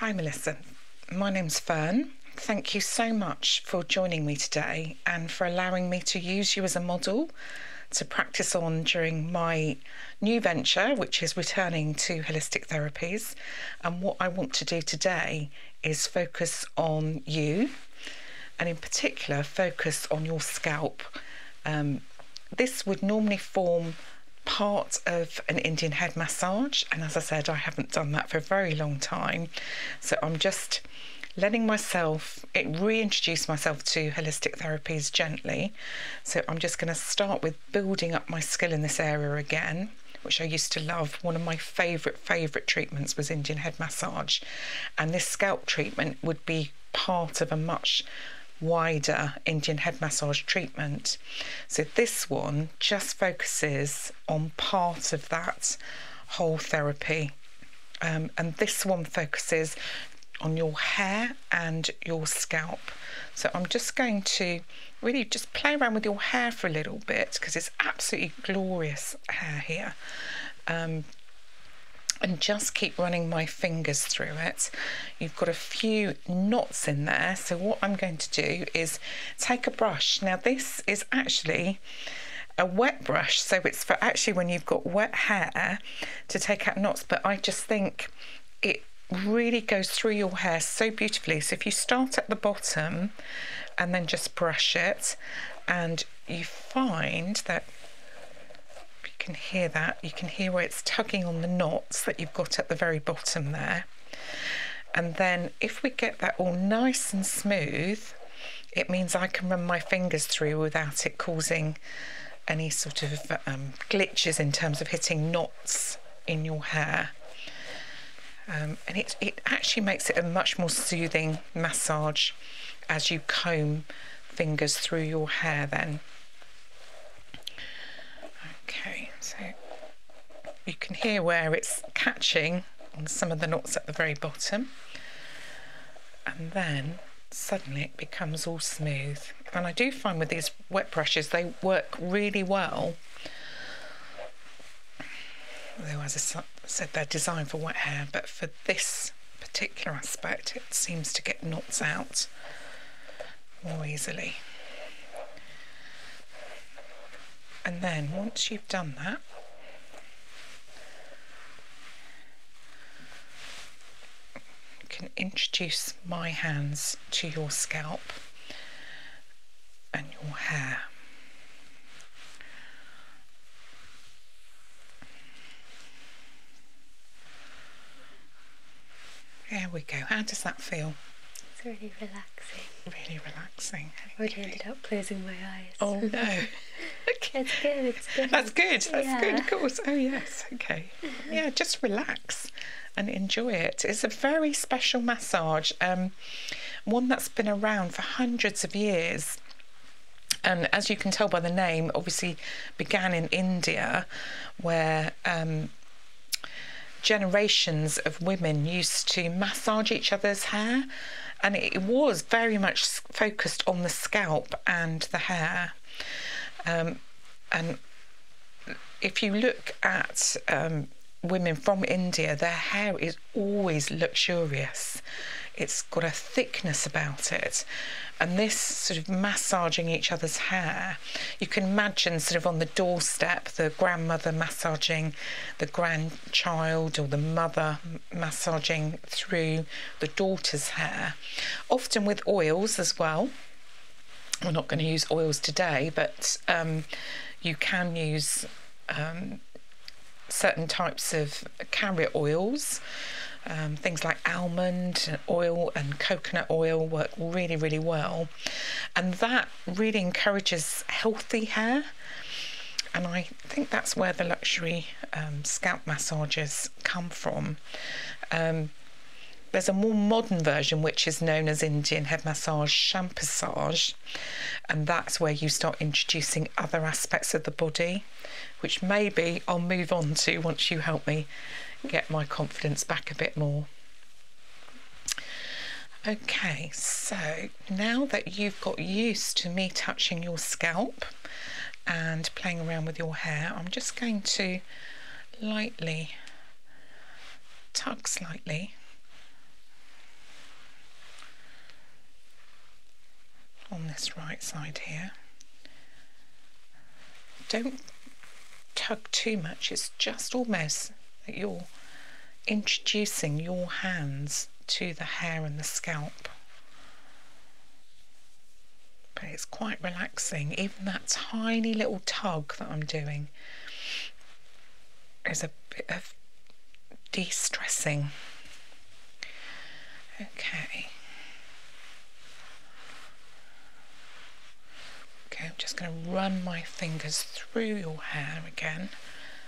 Hi, Melissa. My name's Fern. Thank you so much for joining me today and for allowing me to use you as a model to practice on during my new venture, which is returning to holistic therapies. And what I want to do today is focus on you and, in particular, focus on your scalp. Um, this would normally form part of an Indian head massage. And as I said, I haven't done that for a very long time. So I'm just letting myself it reintroduce myself to holistic therapies gently. So I'm just going to start with building up my skill in this area again which I used to love. One of my favourite, favourite treatments was Indian head massage. And this scalp treatment would be part of a much wider Indian head massage treatment. So this one just focuses on part of that whole therapy. Um, and this one focuses on your hair and your scalp. So I'm just going to really just play around with your hair for a little bit because it's absolutely glorious hair here. Um, and just keep running my fingers through it. You've got a few knots in there. So what I'm going to do is take a brush. Now this is actually a wet brush. So it's for actually when you've got wet hair to take out knots. But I just think it really goes through your hair so beautifully. So if you start at the bottom and then just brush it and you find that you can hear that, you can hear where it's tugging on the knots that you've got at the very bottom there. And then if we get that all nice and smooth, it means I can run my fingers through without it causing any sort of um, glitches in terms of hitting knots in your hair. Um, and it, it actually makes it a much more soothing massage as you comb fingers through your hair then. Okay, so you can hear where it's catching on some of the knots at the very bottom and then suddenly it becomes all smooth and I do find with these wet brushes they work really well although as I said they're designed for wet hair but for this particular aspect it seems to get knots out more easily. And then once you've done that, you can introduce my hands to your scalp and your hair. There we go. How does that feel? It's really relaxing. Really relaxing. I would have ended up closing my eyes. Oh no. okay. good, That's good, that's good, of course. Oh yes, okay. Yeah, just relax and enjoy it. It's a very special massage, um, one that's been around for hundreds of years. And as you can tell by the name, obviously began in India, where um, generations of women used to massage each other's hair, and it was very much focused on the scalp and the hair. Um, and if you look at um, women from India, their hair is always luxurious. It's got a thickness about it. And this sort of massaging each other's hair, you can imagine sort of on the doorstep, the grandmother massaging the grandchild or the mother massaging through the daughter's hair, often with oils as well. We're not going to use oils today, but um, you can use um, certain types of carrier oils. Um, things like almond oil and coconut oil work really, really well. And that really encourages healthy hair. And I think that's where the luxury um, scalp massages come from. Um, there's a more modern version which is known as Indian head massage shampassage, and that's where you start introducing other aspects of the body, which maybe I'll move on to once you help me get my confidence back a bit more. Okay, so now that you've got used to me touching your scalp and playing around with your hair, I'm just going to lightly tug slightly on this right side here. Don't tug too much, it's just almost at your introducing your hands to the hair and the scalp. But it's quite relaxing, even that tiny little tug that I'm doing is a bit of de stressing. Okay. Okay, I'm just going to run my fingers through your hair again.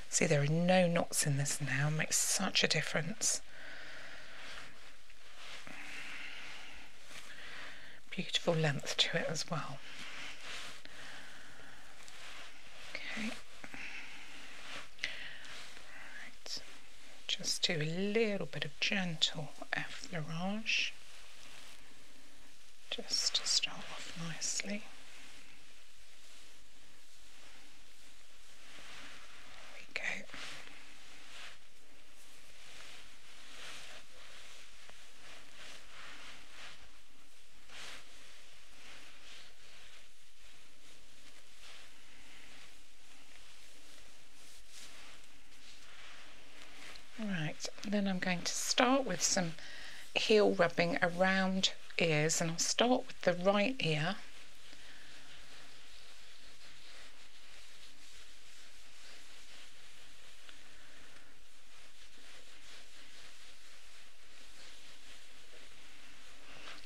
See, there are no knots in this now, makes such a difference. Beautiful length to it as well. Okay. Right. Just do a little bit of gentle effleurage just to start off nicely. There we go. Right, then I'm going to start with some heel rubbing around ears and I'll start with the right ear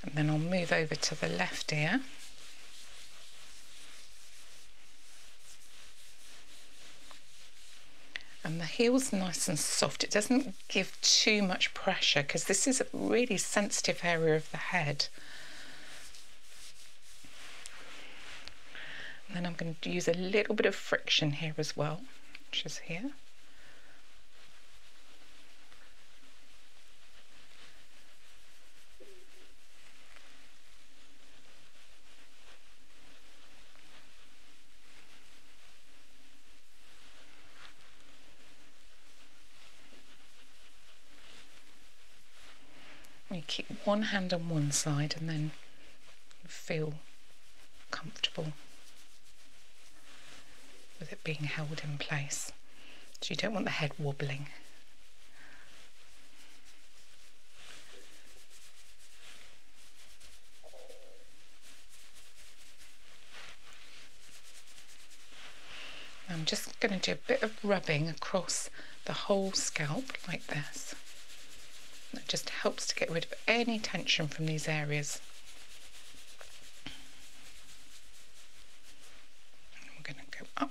and then I'll move over to the left ear and the heel's nice and soft. It doesn't give too much pressure because this is a really sensitive area of the head. then I'm going to use a little bit of friction here as well, which is here. You keep one hand on one side and then feel comfortable with it being held in place. So you don't want the head wobbling. I'm just going to do a bit of rubbing across the whole scalp like this. That just helps to get rid of any tension from these areas. We're going to go up.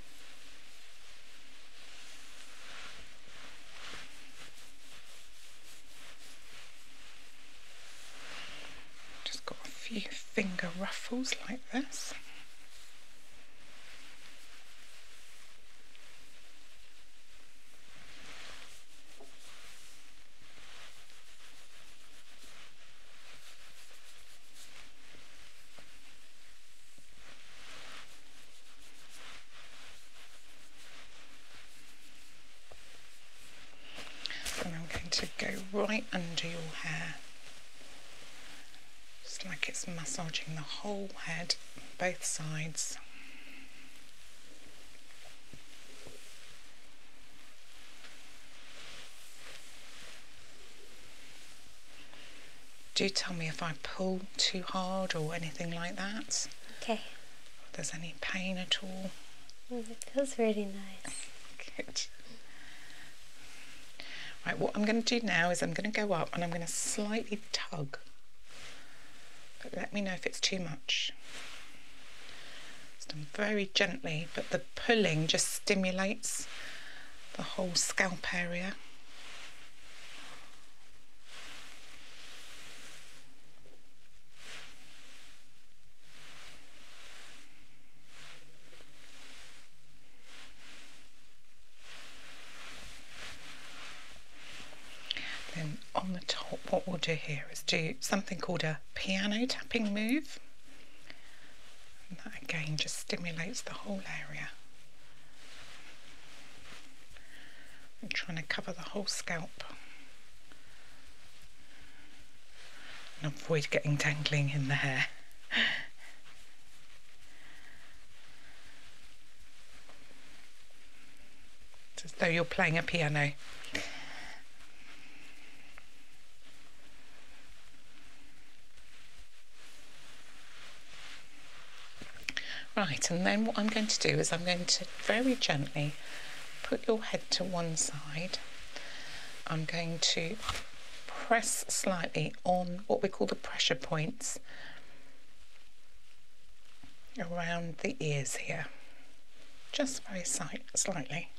Just got a few finger ruffles like this. And I'm going to go right under your hair. Just like it's massaging the whole head, both sides. Do tell me if I pull too hard or anything like that. Okay. If there's any pain at all. Mm, it feels really nice. Good. Right, what I'm going to do now is I'm going to go up and I'm going to slightly tug. But let me know if it's too much. It's done very gently, but the pulling just stimulates the whole scalp area. Then on the top, what we'll do here is do something called a piano tapping move. that again just stimulates the whole area. I'm trying to cover the whole scalp and avoid getting dangling in the hair. it's as though you're playing a piano. Right, and then what I'm going to do is I'm going to very gently put your head to one side. I'm going to press slightly on what we call the pressure points around the ears here, just very slightly.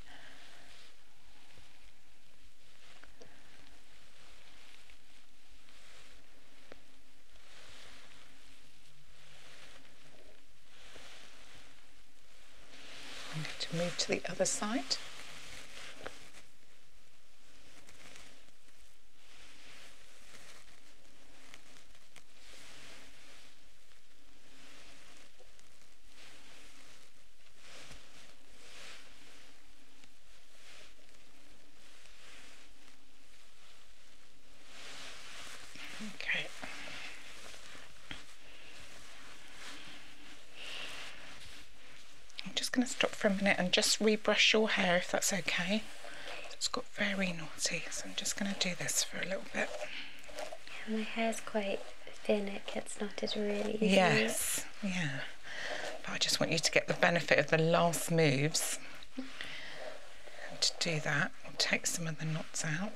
I'm going to move to the other side. Okay. I'm just going to stop for a minute and just rebrush your hair if that's okay. It's got very naughty, so I'm just going to do this for a little bit. Yeah, my is quite thin, it gets knotted really easily. Yes. Yeah, but I just want you to get the benefit of the last moves. to do that, we'll take some of the knots out.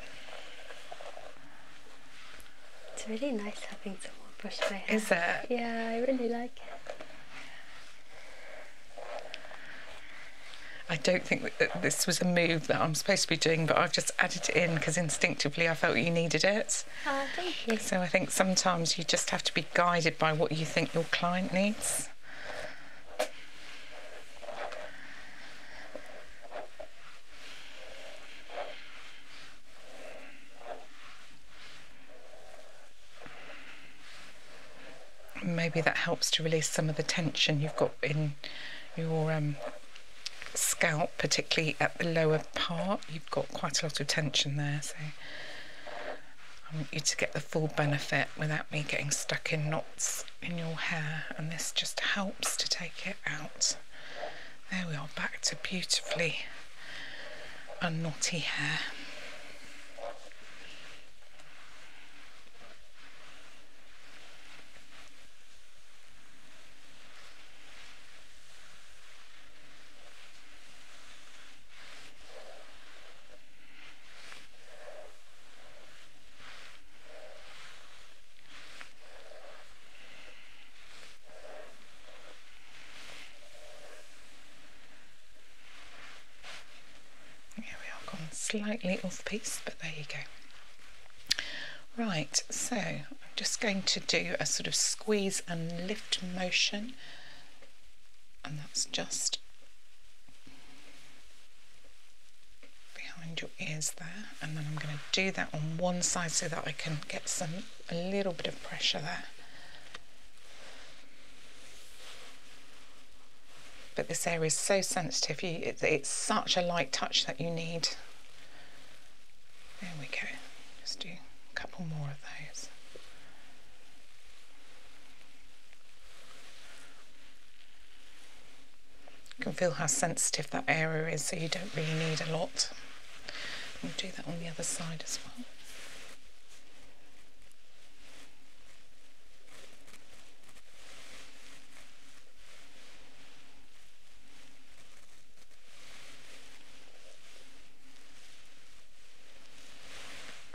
It's really nice having someone brush my hair. Is it? Yeah, I really like it. I don't think that this was a move that I'm supposed to be doing, but I've just added it in because instinctively I felt you needed it. Ah, so I think sometimes you just have to be guided by what you think your client needs. maybe that helps to release some of the tension you've got in your um, scalp, particularly at the lower part. You've got quite a lot of tension there, so I want you to get the full benefit without me getting stuck in knots in your hair and this just helps to take it out. There we are, back to beautifully unknotty hair. Yeah, we are gone slightly off piece, but there you go. Right, so I'm just going to do a sort of squeeze and lift motion and that's just behind your ears there and then I'm going to do that on one side so that I can get some a little bit of pressure there but this area is so sensitive you it's such a light touch that you need there we go just do a couple more of those you can feel how sensitive that area is, so you don't really need a lot. We'll do that on the other side as well.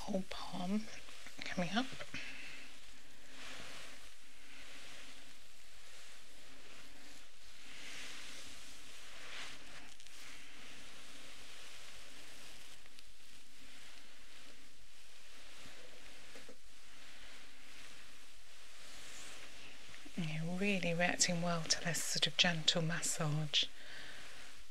whole palm coming up. you're really reacting well to this sort of gentle massage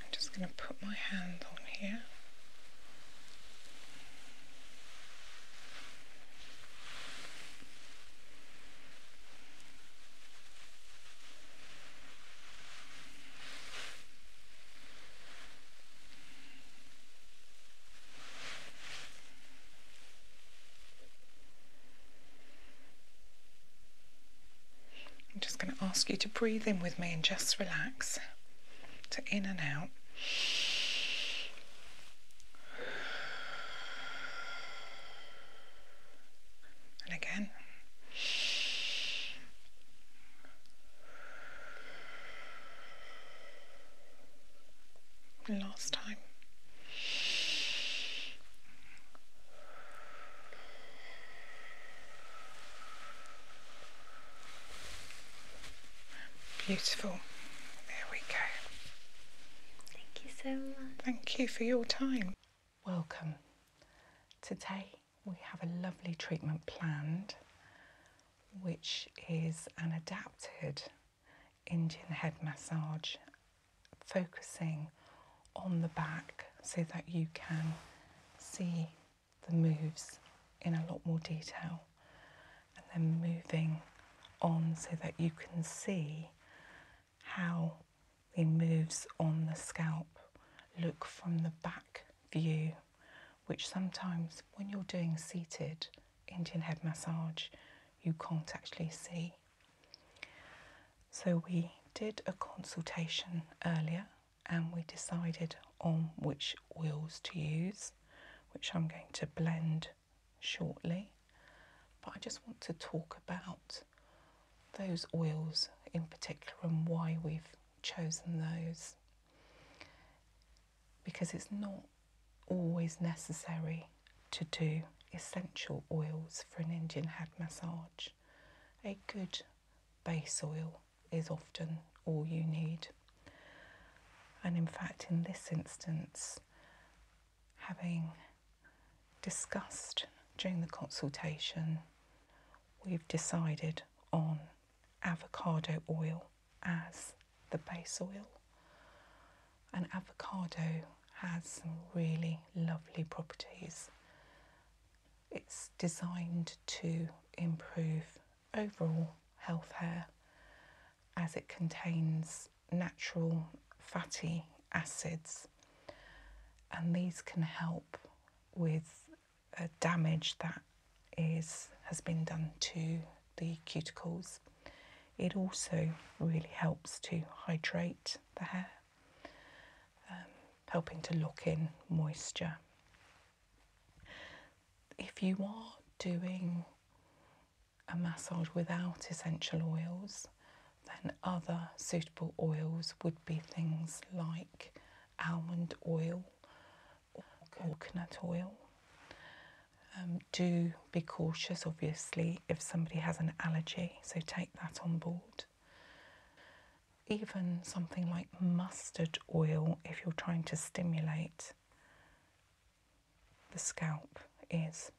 I'm just going to put my hand on here. I'm just going to ask you to breathe in with me and just relax to in and out. And again last time. Beautiful. There we go. Thank you so much. Thank you for your time. Welcome. Today we have a lovely treatment planned which is an adapted Indian head massage focusing on the back so that you can see the moves in a lot more detail and then moving on so that you can see how the moves on the scalp look from the back view which sometimes when you're doing seated Indian head massage, you can't actually see. So we did a consultation earlier and we decided on which oils to use, which I'm going to blend shortly. But I just want to talk about those oils in particular and why we've chosen those because it's not always necessary to do essential oils for an Indian head massage. A good base oil is often all you need. And in fact, in this instance, having discussed during the consultation, we've decided on avocado oil as the base oil. an avocado has some really lovely properties. It's designed to improve overall health hair as it contains natural fatty acids, and these can help with damage that is has been done to the cuticles. It also really helps to hydrate the hair, um, helping to lock in moisture. If you are doing a massage without essential oils, then other suitable oils would be things like almond oil, coconut oil. Um, do be cautious, obviously, if somebody has an allergy, so take that on board. Even something like mustard oil, if you're trying to stimulate the scalp, is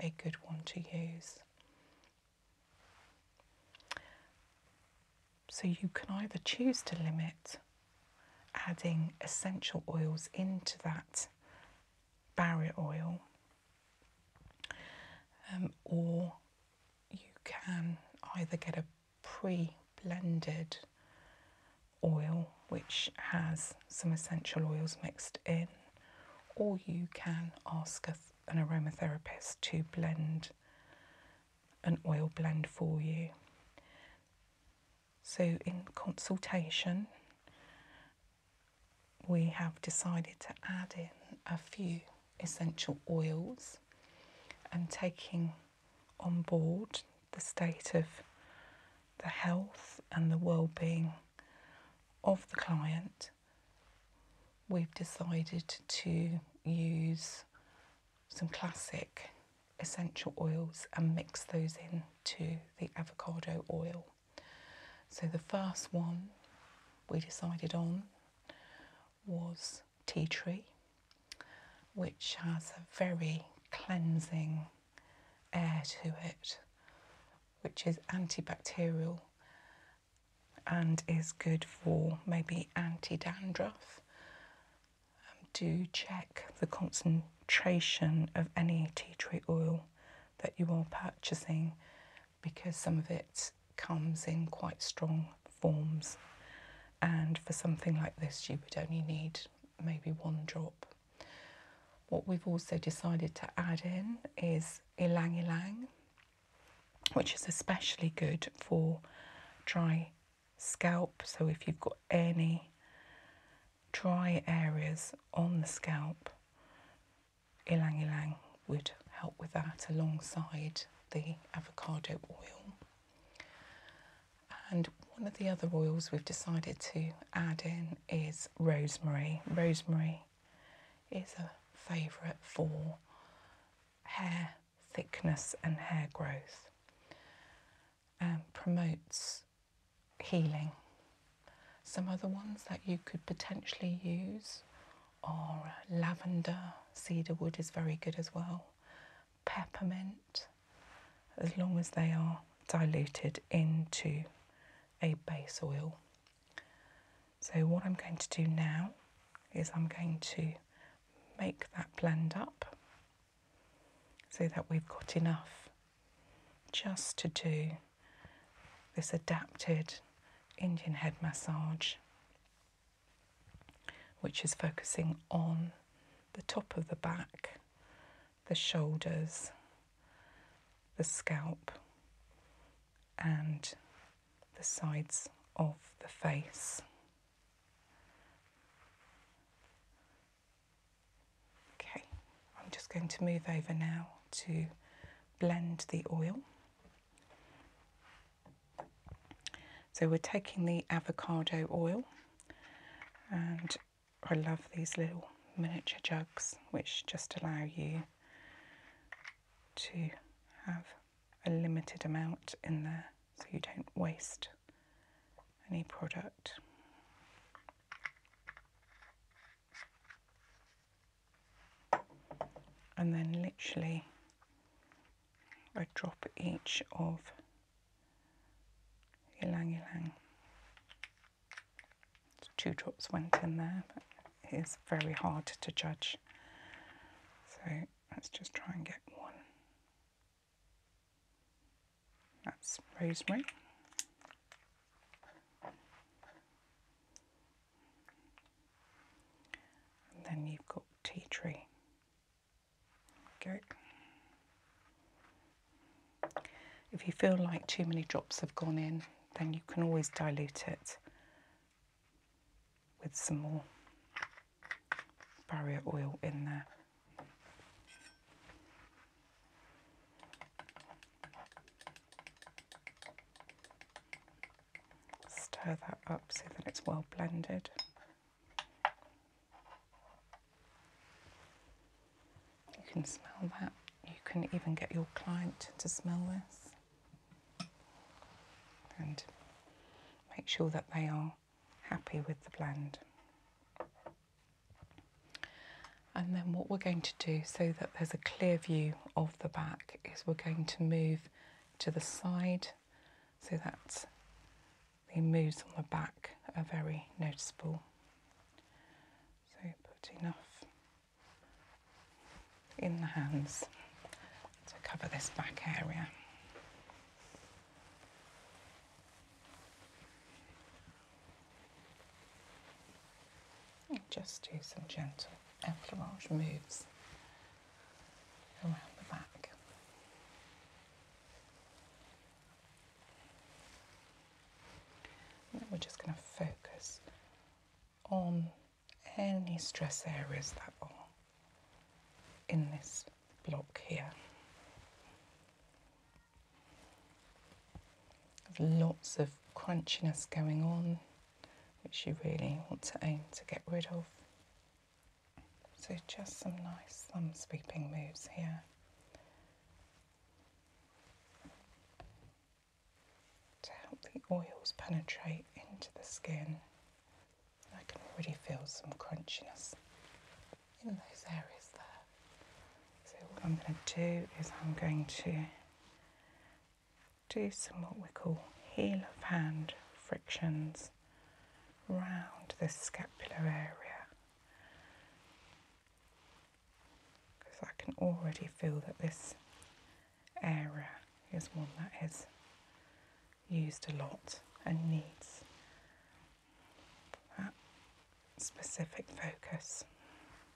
a good one to use. So you can either choose to limit adding essential oils into that barrier oil, um, or you can either get a pre blended oil which has some essential oils mixed in, or you can ask an aromatherapist to blend an oil blend for you. So, in consultation, we have decided to add in a few essential oils and taking on board the state of the health and the well-being of the client we've decided to use some classic essential oils and mix those in to the avocado oil. So the first one we decided on was tea tree, which has a very cleansing air to it, which is antibacterial and is good for maybe anti dandruff. Um, do check the concentration concentration of any tea tree oil that you are purchasing because some of it comes in quite strong forms. And for something like this, you would only need maybe one drop. What we've also decided to add in is ylang ylang, which is especially good for dry scalp. So if you've got any dry areas on the scalp, ylang ylang would help with that alongside the avocado oil. And one of the other oils we've decided to add in is rosemary. Rosemary is a favourite for hair thickness and hair growth promotes healing. Some other ones that you could potentially use are uh, lavender, cedar wood is very good as well, peppermint, as long as they are diluted into a base oil. So, what I'm going to do now is I'm going to make that blend up so that we've got enough just to do this adapted Indian head massage, which is focusing on the top of the back, the shoulders, the scalp, and the sides of the face. Okay, I'm just going to move over now to blend the oil. So we're taking the avocado oil and I love these little miniature jugs which just allow you to have a limited amount in there so you don't waste any product and then literally I drop each of ylang ylang. Two drops went in there, it is very hard to judge. So let's just try and get one. That's rosemary. And then you've got tea tree. Go. If you feel like too many drops have gone in, then you can always dilute it with some more barrier oil in there. Stir that up so that it's well blended. You can smell that. You can even get your client to smell this. And make sure that they are happy with the blend. And then what we're going to do so that there's a clear view of the back is we're going to move to the side so that the moves on the back are very noticeable. So putting enough in the hands to cover this back area just do some gentle effleurage moves around the back. we're just going to focus on any stress areas that are in this block here lots of crunchiness going on, which you really want to aim to get rid of. So just some nice thumb sweeping moves here. To help the oils penetrate into the skin. I can already feel some crunchiness in those areas there. So what I'm going to do is I'm going to do some what we call heel of hand frictions round this scapular area because I can already feel that this area is one that is used a lot and needs that specific focus.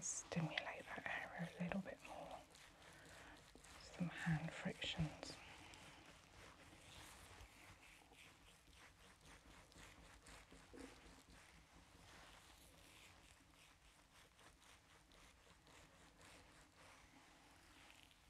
stimulate that area a little bit more. Some hand frictions.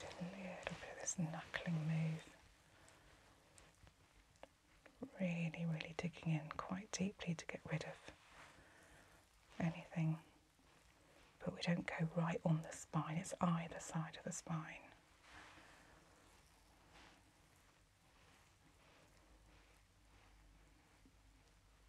little bit this knuckling move. Really, really digging in quite deeply to get rid of anything. But we don't go right on the spine, it's either side of the spine.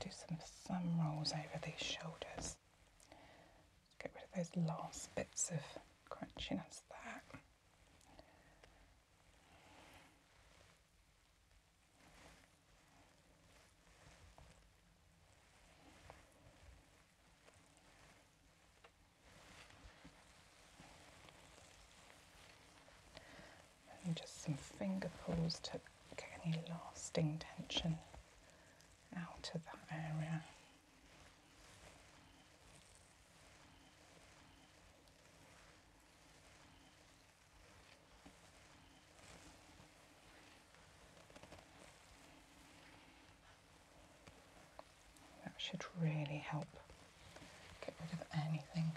do some thumb rolls over these shoulders. Get rid of those last bits of crunchiness there and just some finger pulls to get any lasting tension out of that area. That should really help get rid of anything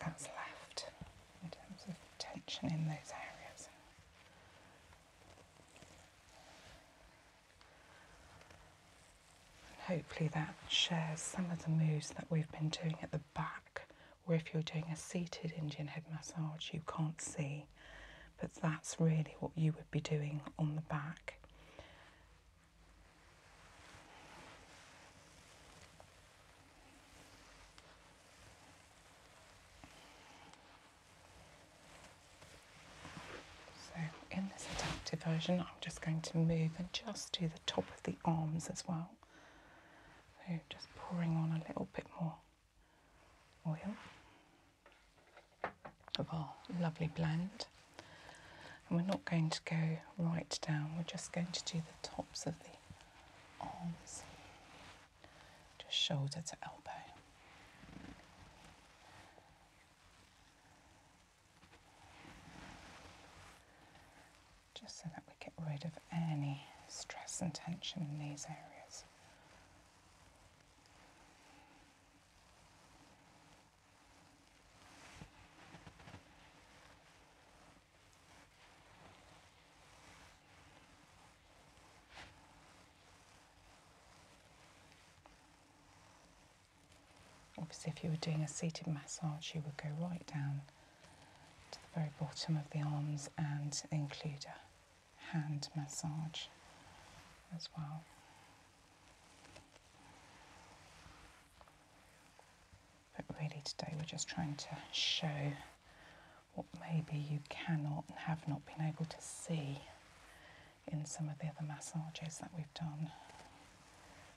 that's left in terms of tension in those areas. And hopefully that shares some of the moves that we've been doing at the back, where if you're doing a seated Indian head massage, you can't see, but that's really what you would be doing on the back. So in this adaptive version, I'm just going to move and just do the top of the arms as well. So just pouring on a little bit more oil of our lovely blend. And we're not going to go right down, we're just going to do the tops of the arms, just shoulder to elbow. Just so that we get rid of any stress and tension in these areas. Obviously, if you were doing a seated massage, you would go right down to the very bottom of the arms and include a hand massage as well. But really, today we're just trying to show what maybe you cannot and have not been able to see in some of the other massages that we've done,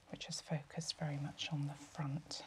which has focused very much on the front.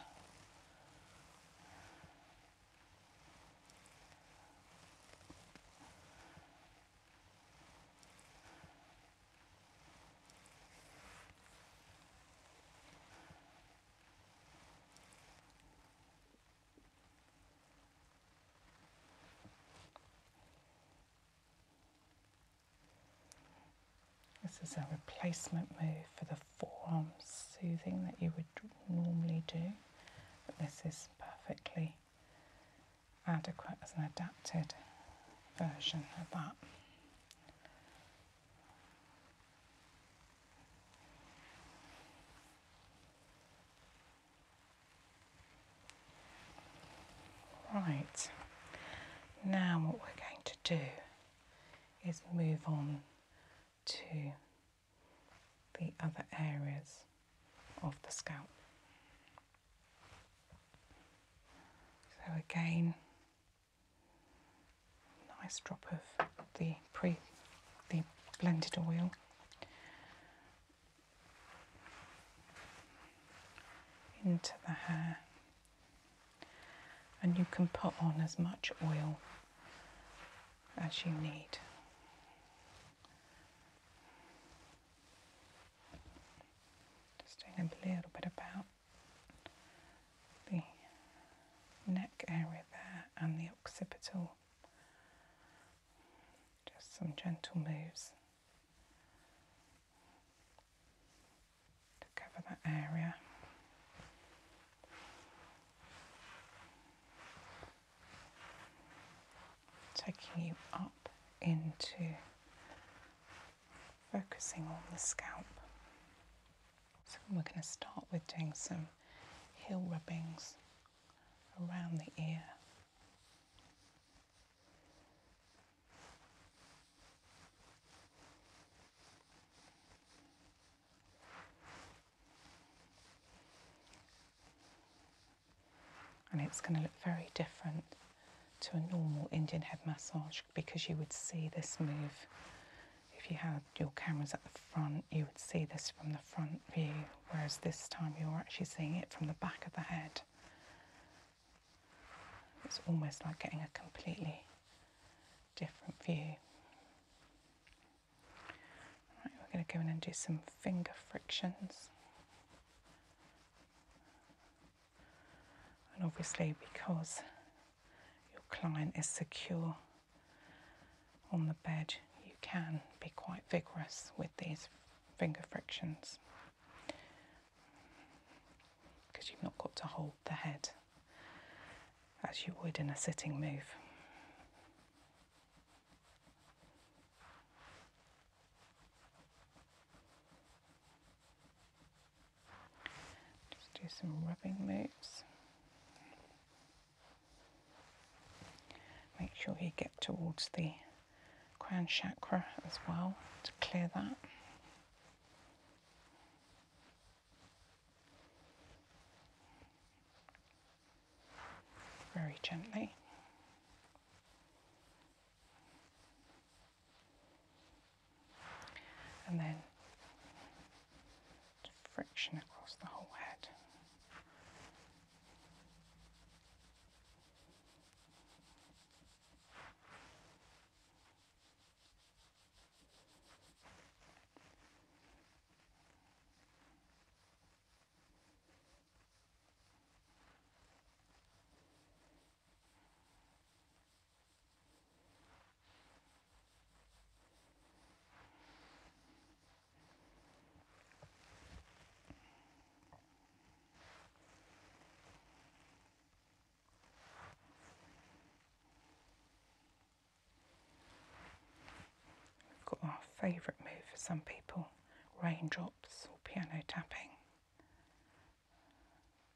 This is a replacement move for the forearm soothing that you would normally do, but this is perfectly adequate as an adapted version of that. Right, now what we're going to do is move on to the other areas of the scalp. So again, Nice drop of the pre the blended oil into the hair and you can put on as much oil as you need. Just doing a little bit about the neck area there and the occipital. Just some gentle moves to cover that area. Taking you up into focusing on the scalp. So we're going to start with doing some heel rubbings around the ear. And it's going to look very different to a normal Indian head massage because you would see this move. If you had your cameras at the front, you would see this from the front view, whereas this time you're actually seeing it from the back of the head. It's almost like getting a completely different view. Right, we're going to go in and do some finger frictions. And obviously, because your client is secure on the bed, you can be quite vigorous with these finger frictions because you've not got to hold the head as you would in a sitting move. Just do some rubbing moves. Make sure you get towards the crown chakra as well to clear that. Very gently and then friction across the whole head. We've got our favourite move for some people raindrops or piano tapping.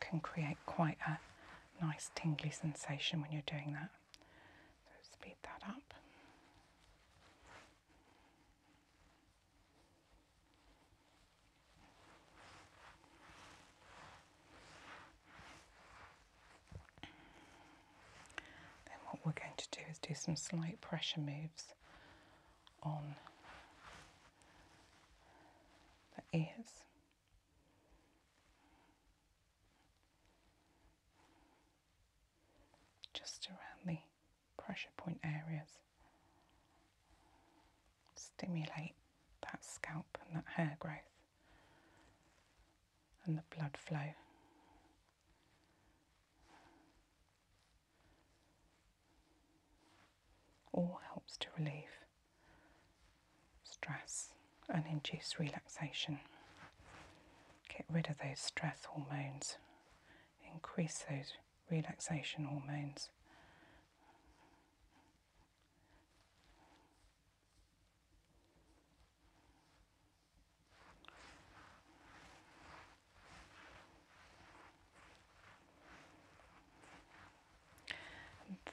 can create quite a nice tingly sensation when you're doing that. So speed that up. Then what we're going to do is do some slight pressure moves on that is. Just around the pressure point areas. Stimulate that scalp and that hair growth and the blood flow. All helps to relieve stress and induce relaxation. Get rid of those stress hormones, increase those relaxation hormones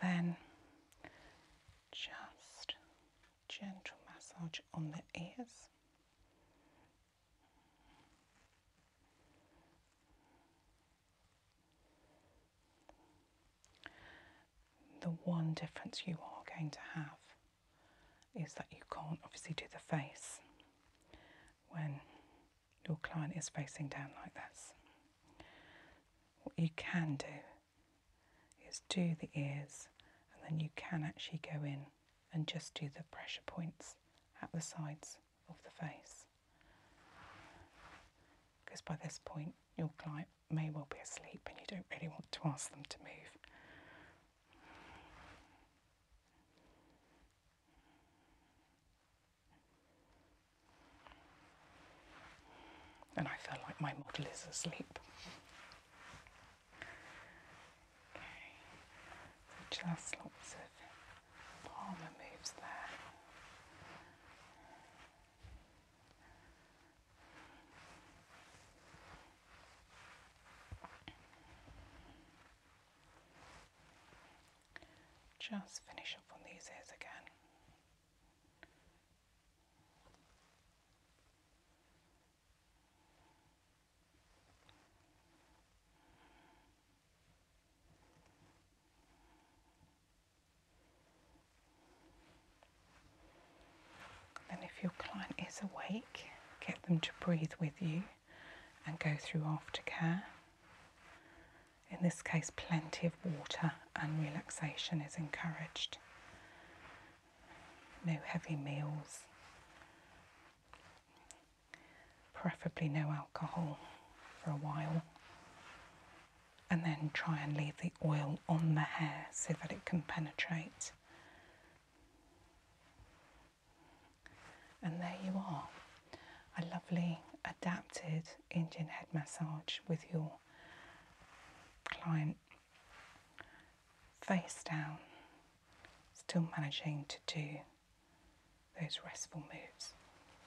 then just gentle massage on the ears. The one difference you are going to have is that you can't obviously do the face when your client is facing down like this. What you can do is do the ears and then you can actually go in and just do the pressure points at the sides of the face. Because by this point, your client may well be asleep and you don't really want to ask them to move. And I feel like my model is asleep. Okay, just lots of palmer moves there. Just finish up on these ears again. Then, if your client is awake, get them to breathe with you and go through aftercare. In this case, plenty of water and relaxation is encouraged. No heavy meals, preferably no alcohol for a while. And then try and leave the oil on the hair so that it can penetrate. And there you are, a lovely adapted Indian head massage with your client face down, still managing to do those restful moves.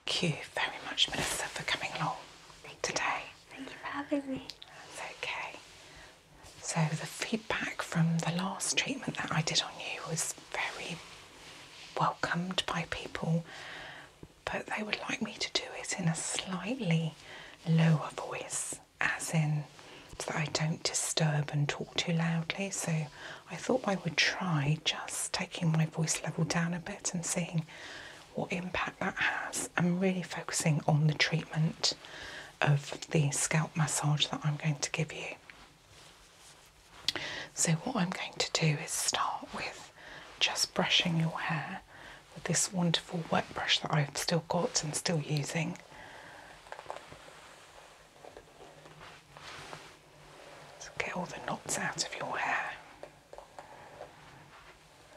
Thank you very much, Melissa, for coming along today. Thank you for having me. That's okay. So the feedback from the last treatment that I did on you was very welcomed by people, but they would like me to do it in a slightly lower voice, as in so that I don't disturb and talk too loudly. So I thought I would try just taking my voice level down a bit and seeing what impact that has. I'm really focusing on the treatment of the scalp massage that I'm going to give you. So, what I'm going to do is start with just brushing your hair with this wonderful wet brush that I've still got and still using. get all the knots out of your hair.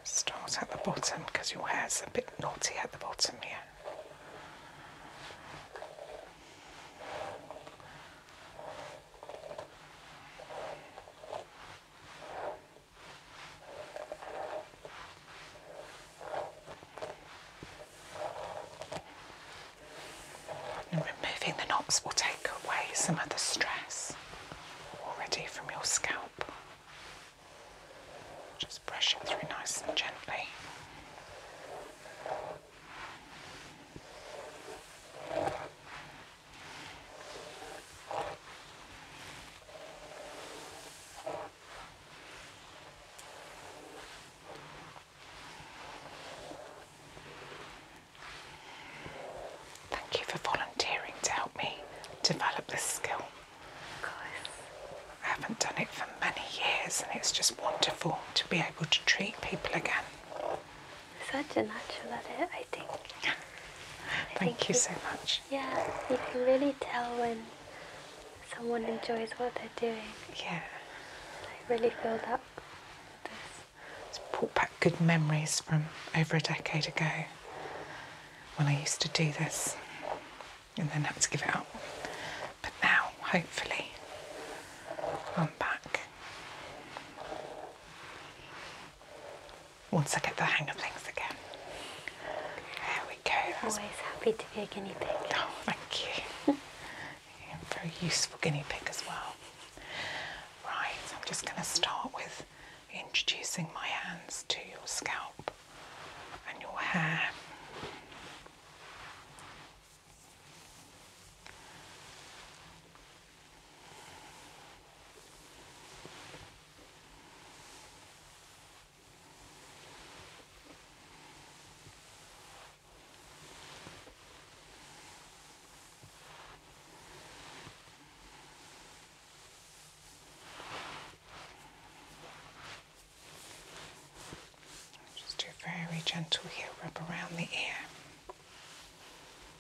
Start at the bottom because your hair's a bit knotty at the bottom here removing the knots will take away some of the stress already from your scalp. Just brush it through nice and gently. Thank you for volunteering to help me develop this skill. Of course. I haven't done it for many years and it's just wonderful to be able to treat people again such a natural at it, I think. Thank you, so much. Yeah, you can really tell when someone enjoys what they're doing. Yeah. I really feel that It's brought back good memories from over a decade ago when I used to do this and then had to give it up. But now, hopefully, I'm back once I get the hang of things again. There we go. Always happy to be a guinea pig. Oh, thank you. Very useful guinea pig as well. Right, I'm just going to start with introducing my hands to your scalp and your hair. Just do very gentle here, rub around the ear.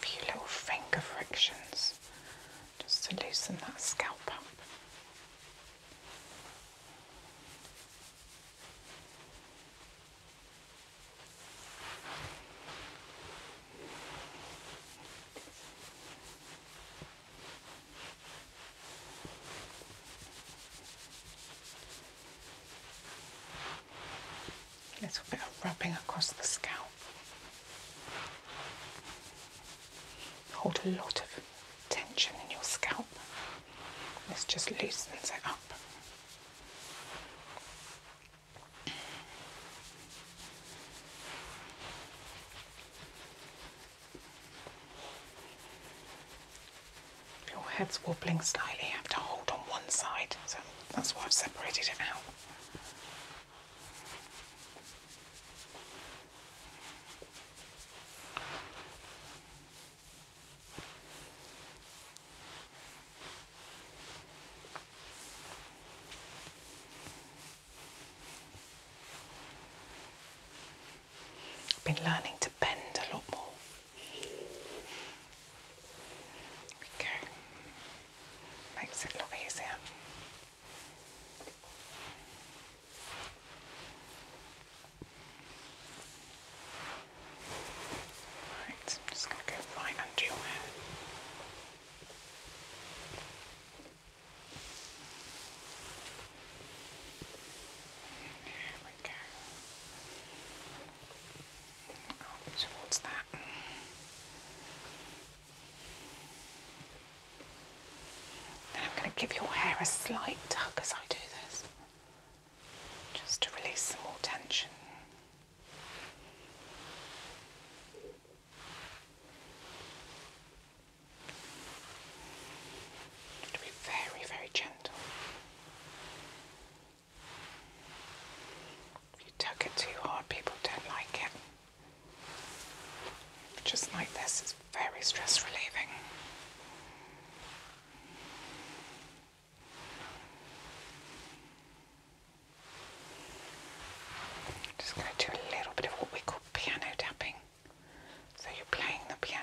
few little finger frictions just to loosen that scalp up little bit of rubbing across the scalp. Hold a lot of tension in your scalp. This just loosens it up. your head's wobbling slightly, you have to hold on one side, so that's why I've separated it out. I've been learning to bend a lot more. There we go. Makes it a lot easier. Right, I'm just going to go right under your hair. There we go. towards that. I'm going to give your hair a slight tug as I do this, just to release some more tension. To be very, very gentle. If you tuck it too hard, people don't like it. Just like this, it's very stress relieving. just going to do a little bit of what we call piano tapping. So you're playing the piano.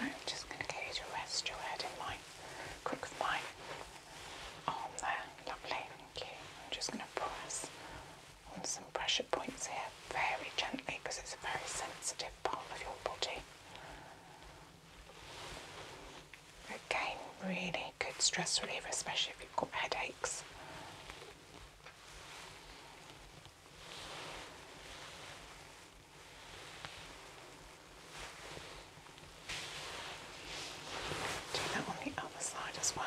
I'm just going to get you rest your head in my crook of my arm there. Lovely, thank you. I'm just going to press on some pressure points here very gently because it's a very sensitive part of your body. Again, really good stress reliever, especially if you've got headaches. Do that on the other side as well.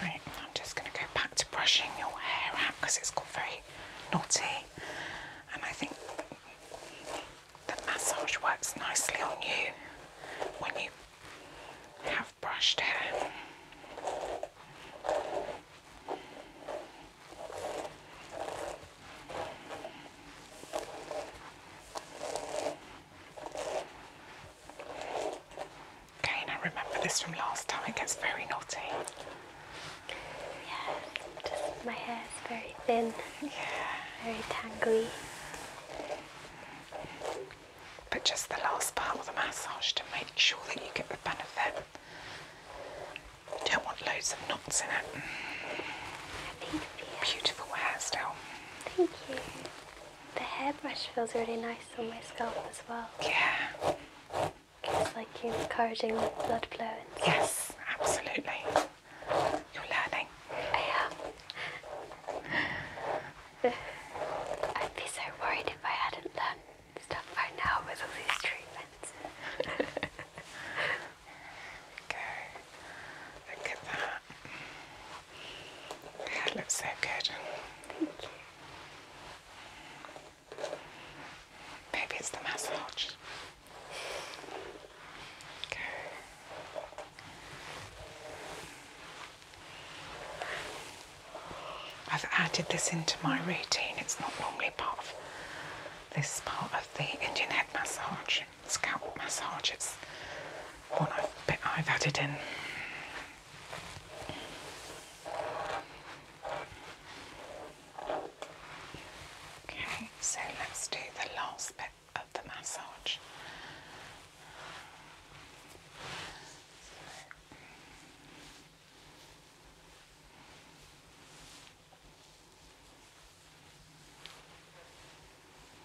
Right, I'm just going to go back to brushing your hair out because it's got very knotty, and I think the massage works nicely on you when you have brushed hair. Okay, and I remember this from last time, it gets very naughty. Yeah, my hair is very thin, yeah. very tangly. But just the last part of the massage to make sure that you get the benefit. You don't want loads of knots in it. Beautiful hair still. Thank you. The hairbrush feels really nice on my scalp as well. Yeah. It's like you're encouraging the blood flow. And yes, absolutely. You're learning. I am. I'd be so worried if I hadn't learned stuff by now with all these treatments. okay. Look at that. That looks so good. Maybe it's the massage. Okay. I've added this into my routine. It's not normally part of this part of the Indian head massage scalp massage. It's one I've, bit I've added in. Okay, so let's do the last bit of the massage.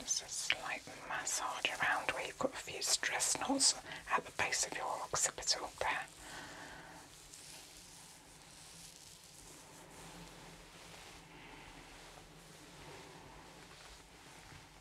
It's a slight massage around where you've got a few stress knots at the base of your occipital there.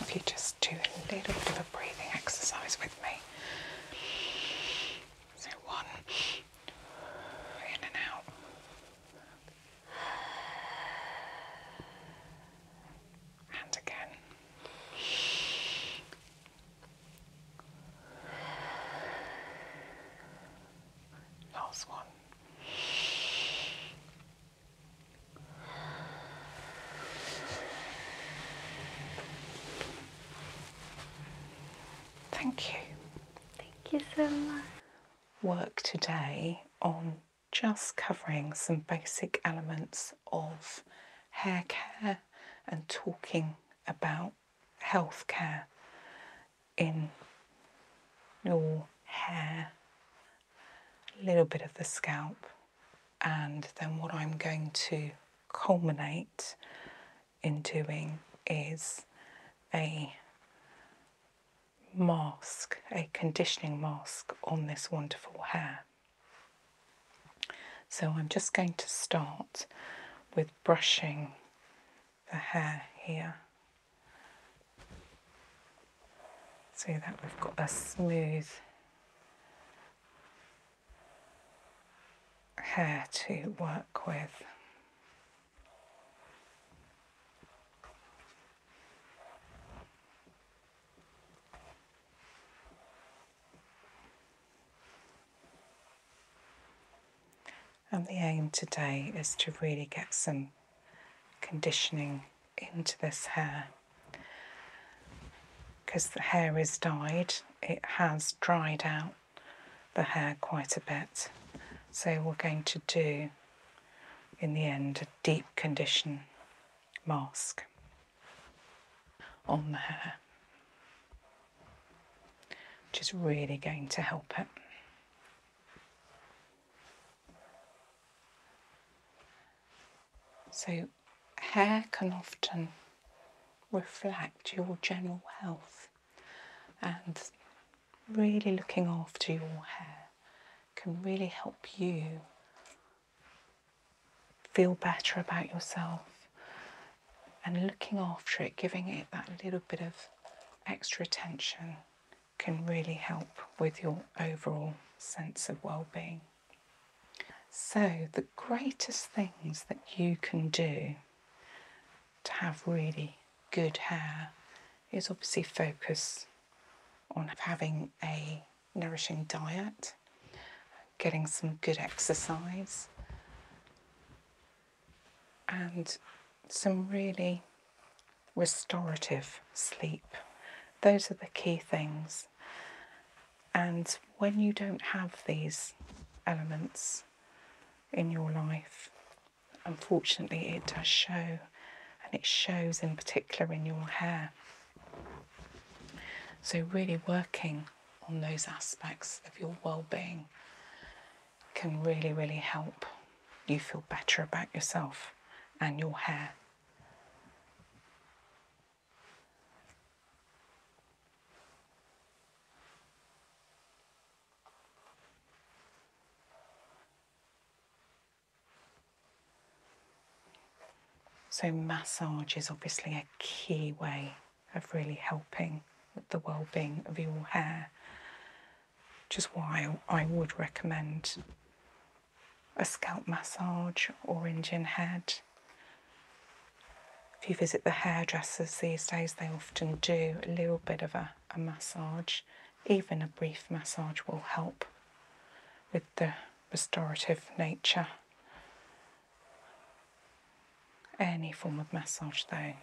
If you just do a little bit of a breathing exercise with me okay. So one in and out. And again. Last one. Thank you. Thank you so much. Work today on just covering some basic elements of hair care and talking about health care in your hair, a little bit of the scalp, and then what I'm going to culminate in doing is a mask, a conditioning mask on this wonderful hair. So I'm just going to start with brushing the hair here. So that we've got a smooth hair to work with. And the aim today is to really get some conditioning into this hair because the hair is dyed it has dried out the hair quite a bit. So we're going to do, in the end, a deep condition mask on the hair, which is really going to help it. So hair can often reflect your general health, and really looking after your hair can really help you feel better about yourself and looking after it, giving it that little bit of extra attention can really help with your overall sense of well-being. So, the greatest things that you can do to have really good hair is obviously focus on having a nourishing diet, getting some good exercise, and some really restorative sleep. Those are the key things. And when you don't have these elements in your life, unfortunately, it does show, and it shows in particular in your hair. So, really working on those aspects of your well being can really, really help you feel better about yourself and your hair. So, massage is obviously a key way of really helping with the well being of your hair, which is why I would recommend a scalp massage or Indian head if you visit the hairdressers these days, they often do a little bit of a, massage. Even a brief massage will help with the restorative nature. Any form of massage, though,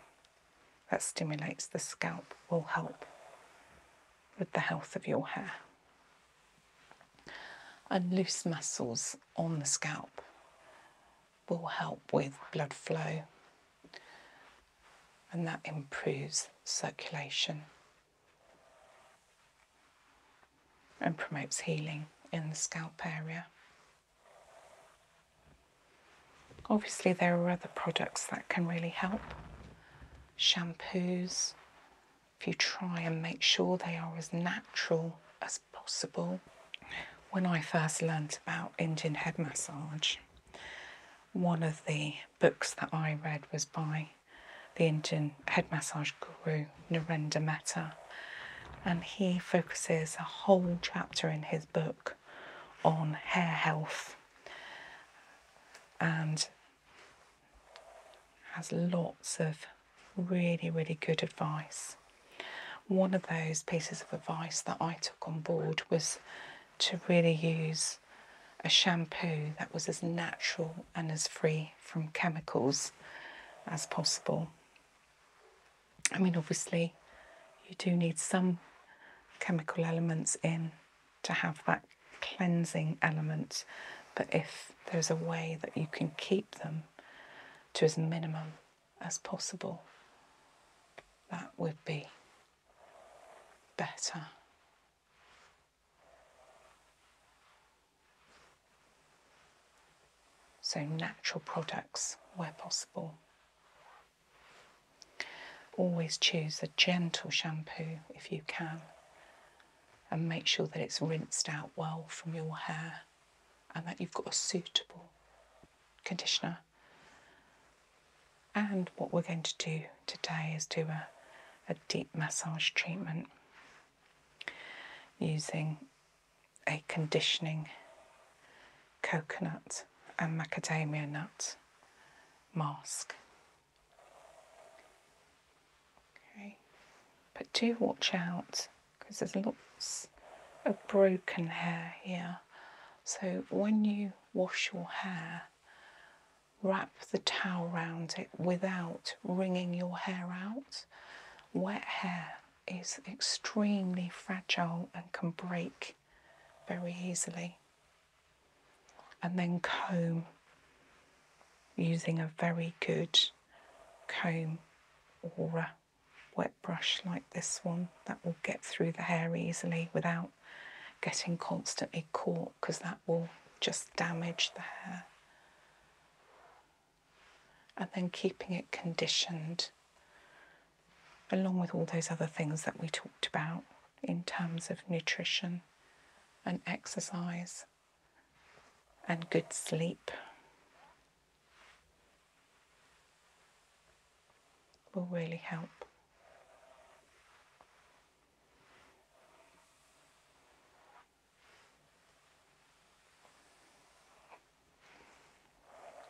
that stimulates the scalp will help with the health of your hair. And loose muscles on the scalp will help with blood flow and that improves circulation and promotes healing in the scalp area. Obviously, there are other products that can really help shampoos. If you try and make sure they are as natural as possible. When I first learnt about Indian head massage, one of the books that I read was by the Indian head massage guru Narendra Mehta, and he focuses a whole chapter in his book on hair health and has lots of really, really good advice one of those pieces of advice that I took on board was to really use a shampoo that was as natural and as free from chemicals as possible. I mean, obviously, you do need some chemical elements in to have that cleansing element, but if there's a way that you can keep them to as minimum as possible, that would be better. So, natural products where possible. Always choose a gentle shampoo if you can and make sure that it's rinsed out well from your hair and that you've got a suitable conditioner. And what we're going to do today is do a, a deep massage treatment using a conditioning coconut and macadamia nut mask. Okay. But do watch out because there's lots of broken hair here. So when you wash your hair, wrap the towel round it without wringing your hair out. Wet hair is extremely fragile and can break very easily. And then comb using a very good comb or a wet brush like this one that will get through the hair easily without getting constantly caught because that will just damage the hair. And then keeping it conditioned along with all those other things that we talked about in terms of nutrition and exercise and good sleep will really help.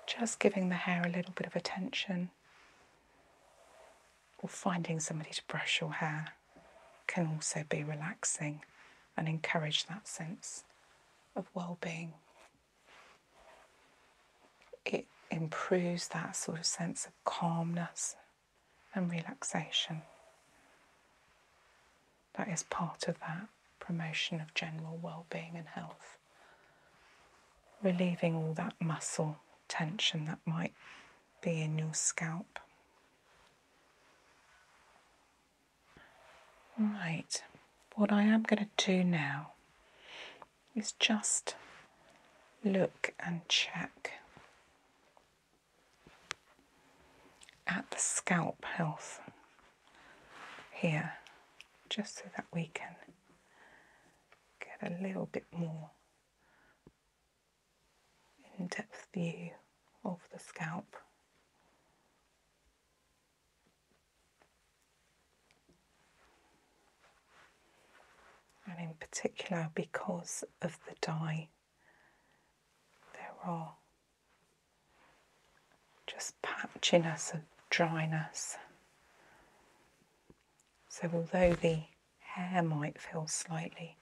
Just giving the hair a little bit of attention or finding somebody to brush your hair can also be relaxing and encourage that sense of well being it improves that sort of sense of calmness and relaxation. That is part of that promotion of general well being and health. Relieving all that muscle tension that might be in your scalp. Right, what I am going to do now is just look and check at the scalp health here, just so that we can get a little bit more in depth view of the scalp. And in particular, because of the dye, there are just patchiness and dryness. So, although the hair might feel slightly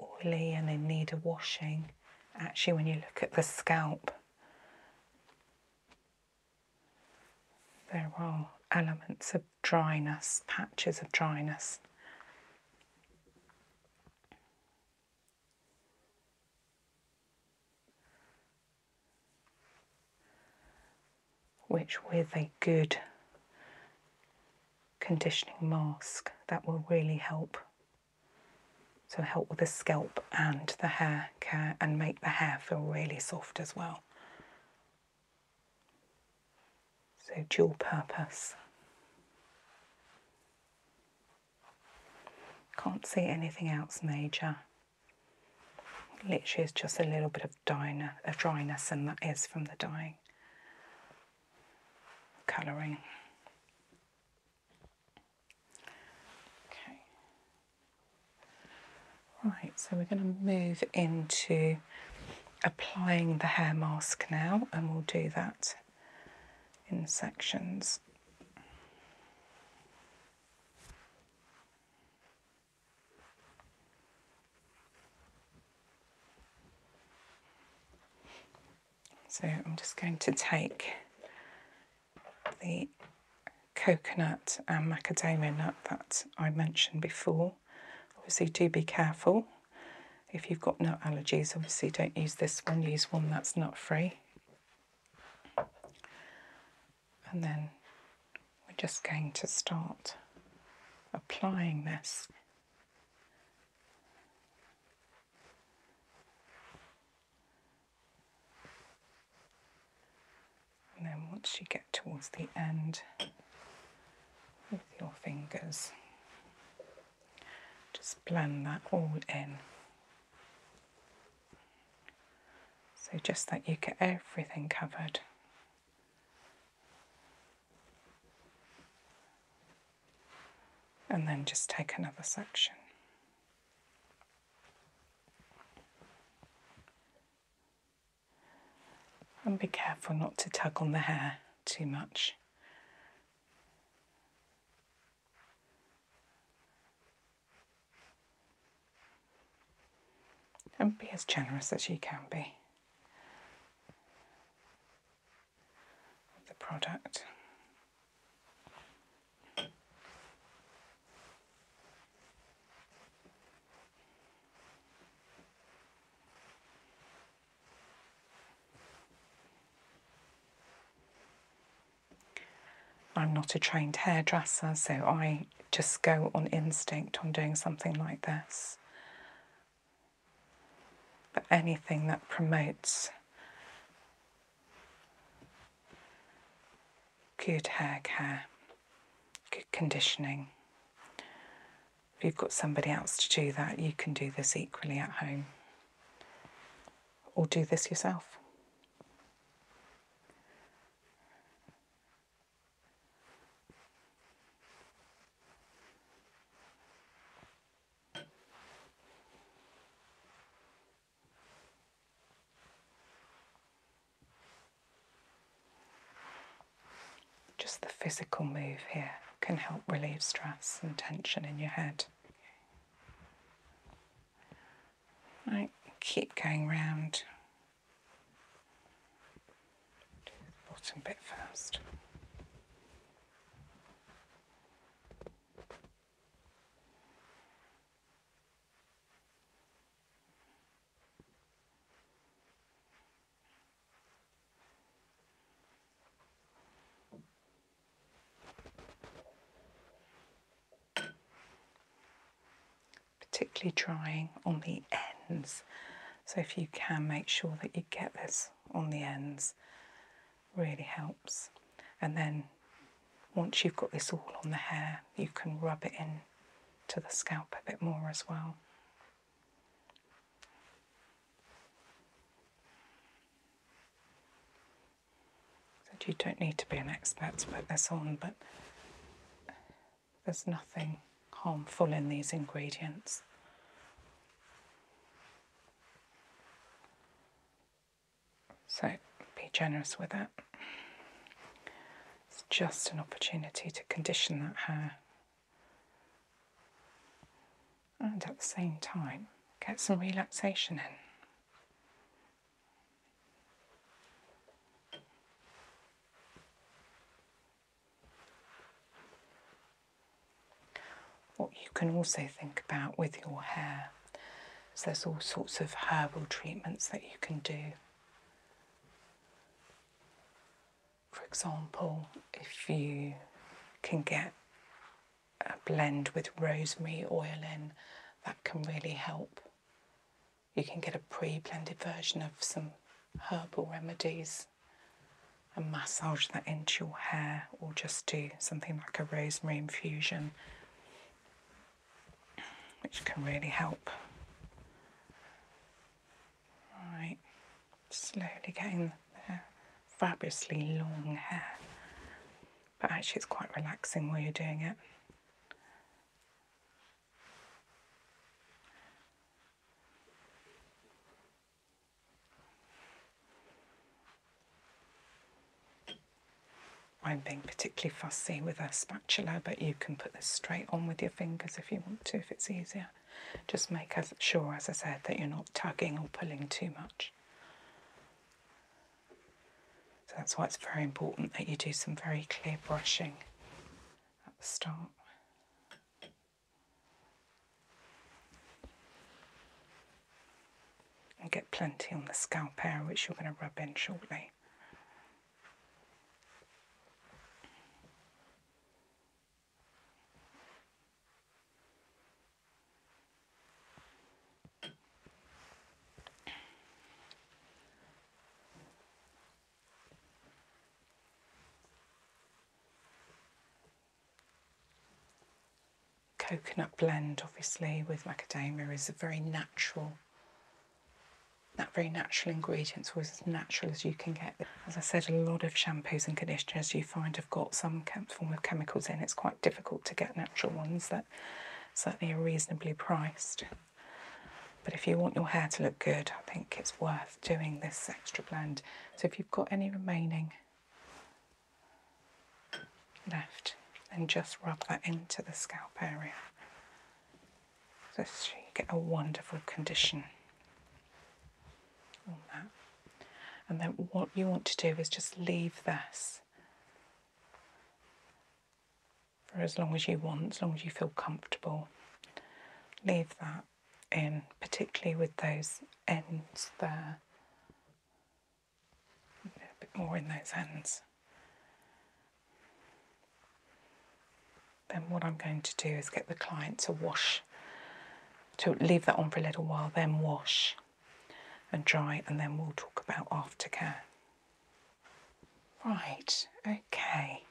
oily and in need of washing, actually, when you look at the scalp, there are elements of dryness, patches of dryness. Which, with a good conditioning mask, that will really help so help with the scalp and the hair care and make the hair feel really soft as well. So dual purpose. Can't see anything else major. Literally, it's just a little bit of dryness, and that is from the dyeing, colouring. Okay. Right, so we're going to move into applying the hair mask now, and we'll do that in sections. So I'm just going to take the coconut and macadamia nut that I mentioned before. Obviously, do be careful. If you've got nut allergies, obviously don't use this one, use one that's nut free. And then we're just going to start applying this and then once you get towards the end with your fingers, just blend that all in. So just that you get everything covered. And then just take another section. And be careful not to tug on the hair too much. And be as generous as you can be with the product. I'm not a trained hairdresser, so I just go on instinct on doing something like this. But anything that promotes Good hair care, good conditioning. If you've got somebody else to do that, you can do this equally at home or do this yourself. Just the physical move here can help relieve stress and tension in your head. Right, keep going round. bottom bit first particularly drying on the ends. So if you can make sure that you get this on the ends really helps. And then once you've got this all on the hair, you can rub it in to the scalp a bit more as well. So you don't need to be an expert to put this on, but there's nothing harmful in these ingredients. So be generous with it. It's just an opportunity to condition that hair. And at the same time, get some relaxation in. What you can also think about with your hair so there's all sorts of herbal treatments that you can do. For example, if you can get a blend with rosemary oil in, that can really help. You can get a pre blended version of some herbal remedies and massage that into your hair, or just do something like a rosemary infusion which can really help. Right, slowly getting the fabulously long hair, but actually it's quite relaxing while you're doing it. I'm being particularly fussy with a spatula, but you can put this straight on with your fingers if you want to, if it's easier. Just make sure, as I said, that you're not tugging or pulling too much. So that's why it's very important that you do some very clear brushing at the start and get plenty on the scalp area which you're going to rub in shortly. coconut blend obviously with macadamia is a very natural that very natural ingredients, was as natural as you can get. As I said, a lot of shampoos and conditioners you find have got some form of chemicals in. It's quite difficult to get natural ones that certainly are reasonably priced. But if you want your hair to look good, I think it's worth doing this extra blend. So if you've got any remaining, left and just rub that into the scalp area. So you get a wonderful condition And then what you want to do is just leave this for as long as you want, as long as you feel comfortable. Leave that in, particularly with those ends there a bit more in those ends. Then what I'm going to do is get the client to wash, to leave that on for a little while, then wash and dry, and then we'll talk about aftercare. Right, okay.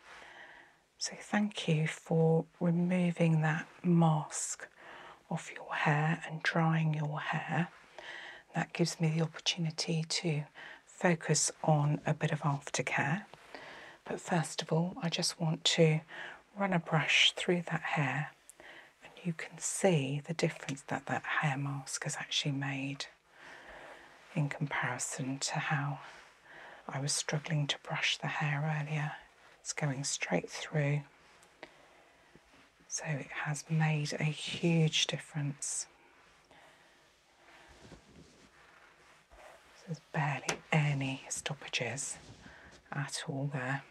So thank you for removing that mask off your hair and drying your hair. That gives me the opportunity to focus on a bit of aftercare. But first of all, I just want to run a brush through that hair and you can see the difference that that hair mask has actually made in comparison to how I was struggling to brush the hair earlier. It's going straight through. So it has made a huge difference there's barely any stoppages at all there.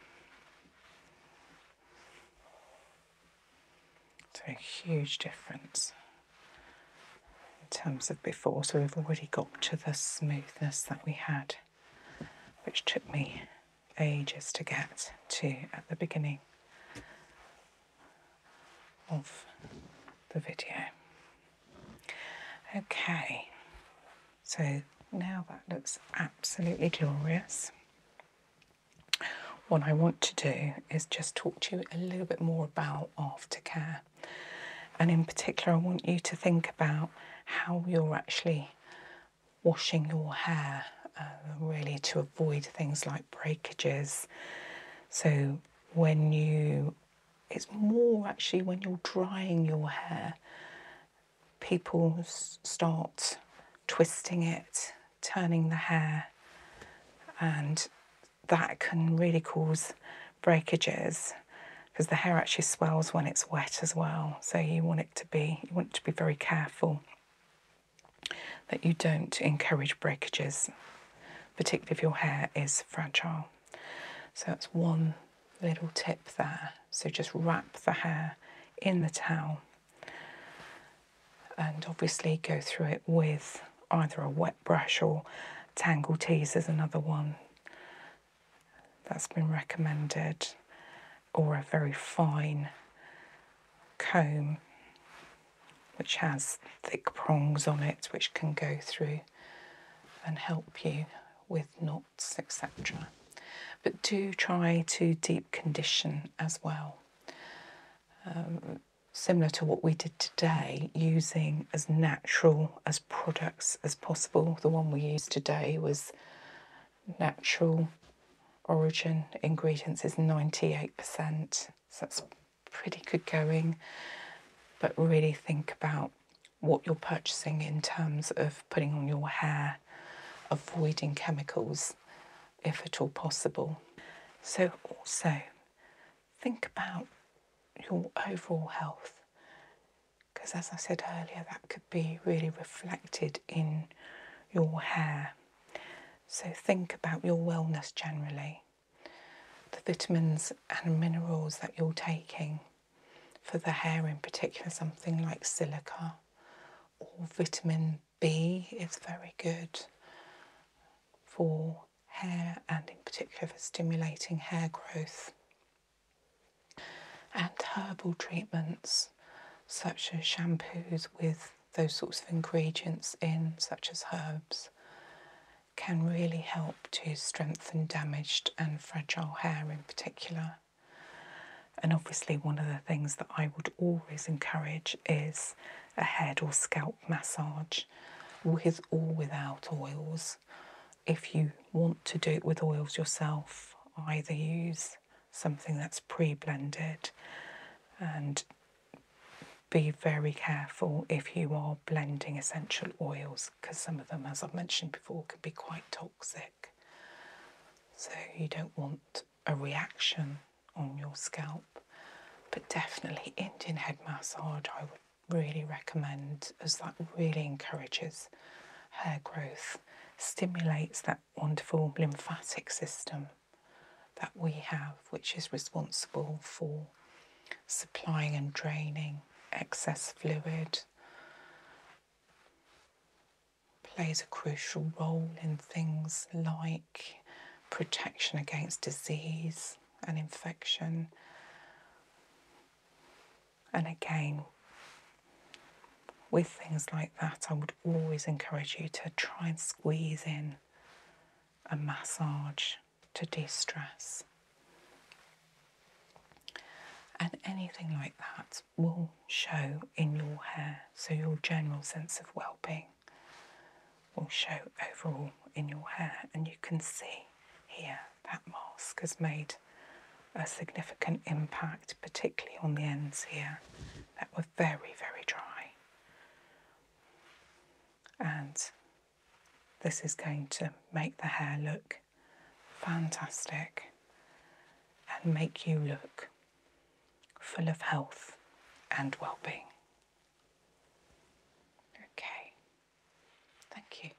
So a huge difference in terms of before. So we've already got to the smoothness that we had, which took me ages to get to at the beginning of the video. Okay, so now that looks absolutely glorious. What I want to do is just talk to you a little bit more about aftercare. And in particular, I want you to think about how you're actually washing your hair uh, really to avoid things like breakages. So when you, it's more actually when you're drying your hair, people start twisting it, turning the hair, and that can really cause breakages because the hair actually swells when it's wet as well. So you want it to be you want to be very careful that you don't encourage breakages, particularly if your hair is fragile. So that's one little tip there. So just wrap the hair in the towel and obviously go through it with either a wet brush or tangle tease another one that's been recommended or a very fine comb which has thick prongs on it which can go through and help you with knots, etc. But do try to deep condition as well. Um, similar to what we did today, using as natural as products as possible. The one we used today was natural origin ingredients is 98% so that's pretty good going. But really think about what you're purchasing in terms of putting on your hair, avoiding chemicals if at all possible. So, also think about your overall health because, as I said earlier, that could be really reflected in your hair. So think about your wellness generally, the vitamins and minerals that you're taking. For the hair in particular, something like silica or vitamin B is very good for hair and, in particular, for stimulating hair growth. And herbal treatments such as shampoos with those sorts of ingredients in, such as herbs, can really help to strengthen damaged and fragile hair in particular. And obviously, one of the things that I would always encourage is a head or scalp massage with or without oils. If you want to do it with oils yourself, either use something that's pre blended and be very careful if you are blending essential oils because some of them, as I've mentioned before, can be quite toxic. So you don't want a reaction on your scalp. But definitely Indian head massage I would really recommend as that really encourages hair growth, stimulates that wonderful lymphatic system that we have, which is responsible for supplying and draining excess fluid, plays a crucial role in things like protection against disease and infection. And again, with things like that, I would always encourage you to try and squeeze in a massage to de stress. And anything like that will show in your hair, so your general sense of well being will show overall in your hair. And you can see here that mask has made a significant impact, particularly on the ends here that were very, very dry and this is going to make the hair look fantastic and make you look full of health and well-being. Okay. Thank you.